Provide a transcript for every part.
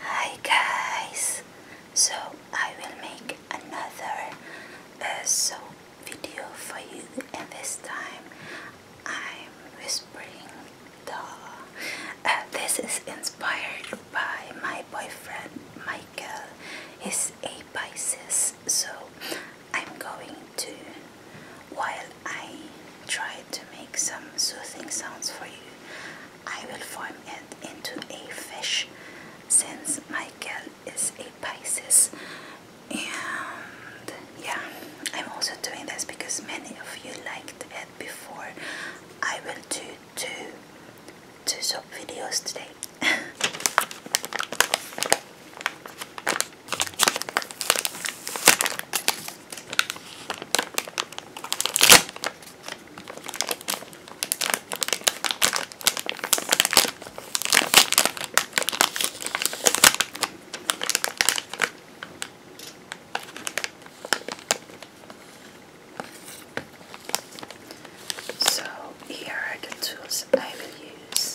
Hi guys! So I will make another uh, soap video for you and this time I'm whispering uh, this is inspired by my boyfriend Michael. He's a Pisces so I'm going to while I tried to make some soothing sounds for you. I will form it into a fish since Michael is a Pisces. And yeah, I'm also doing this because many of you liked it before. I will do two, two soap videos today. So, here are the tools I will use.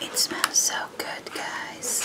It smells so good, guys.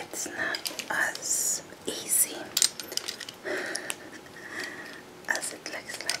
It's not as easy as it looks like.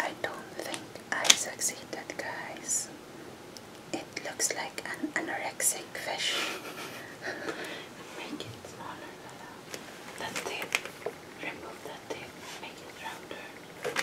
I don't think I succeeded, guys. It looks like an anorexic fish. Make it smaller, Bella. That tip. Remove that tip. Make it rounder.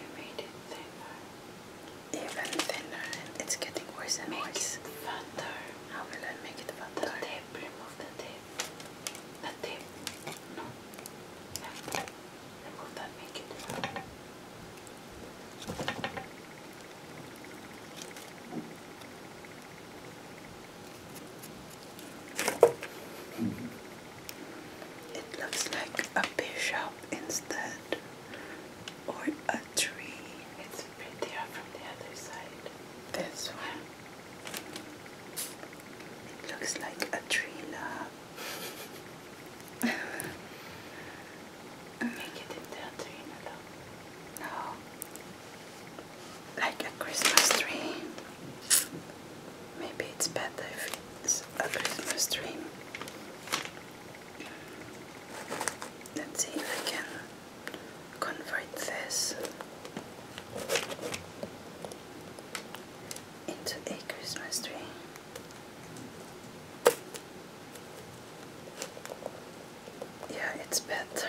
You made it thinner. Even thinner it's getting worse and worse. Make it fatter. How will I make it fatter? The tip, remove the tip. The tip. No. Remove that, make it it looks like a bishop instead, or a tree. It's prettier from the other side. This one. It looks like a tree love. Make it into a tree No. Like a Christmas tree. Maybe it's better if it's a Christmas dream. Let's see if I can convert this into a Christmas tree. Yeah, it's better.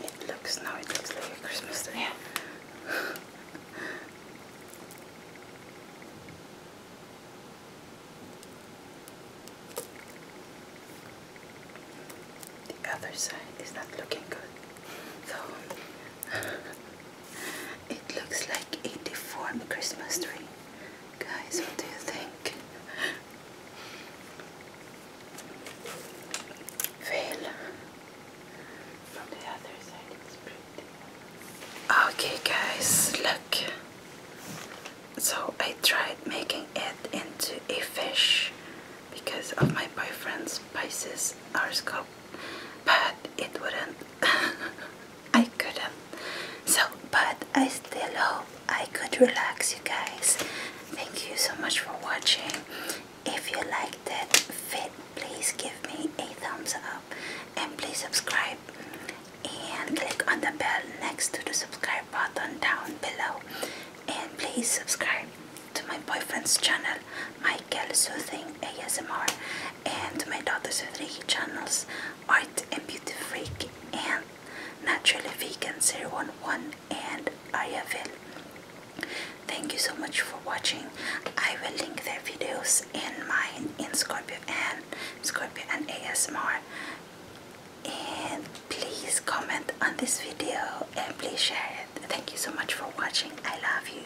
It looks now it looks like a Christmas tree. the other side is not looking good. So It looks like a deformed Christmas tree. Guys, what do you think? Veil Okay, guys, look. So I tried making it into a fish because of my boyfriend's Pisces horoscope but it wouldn't I couldn't so but I still hope I could relax you guys thank you so much for watching if you liked it, fit please give me a thumbs up and please subscribe and click on the bell next to the subscribe button down below and please subscribe to my boyfriend's channel Michael Soothing ASMR, and my daughter's Soothing channels, Art and Beauty Freak, and Naturally Vegan 011 and Ariaville. Thank you so much for watching. I will link their videos in mine in Scorpio and Scorpio and ASMR. And please comment on this video and please share it. Thank you so much for watching. I love you.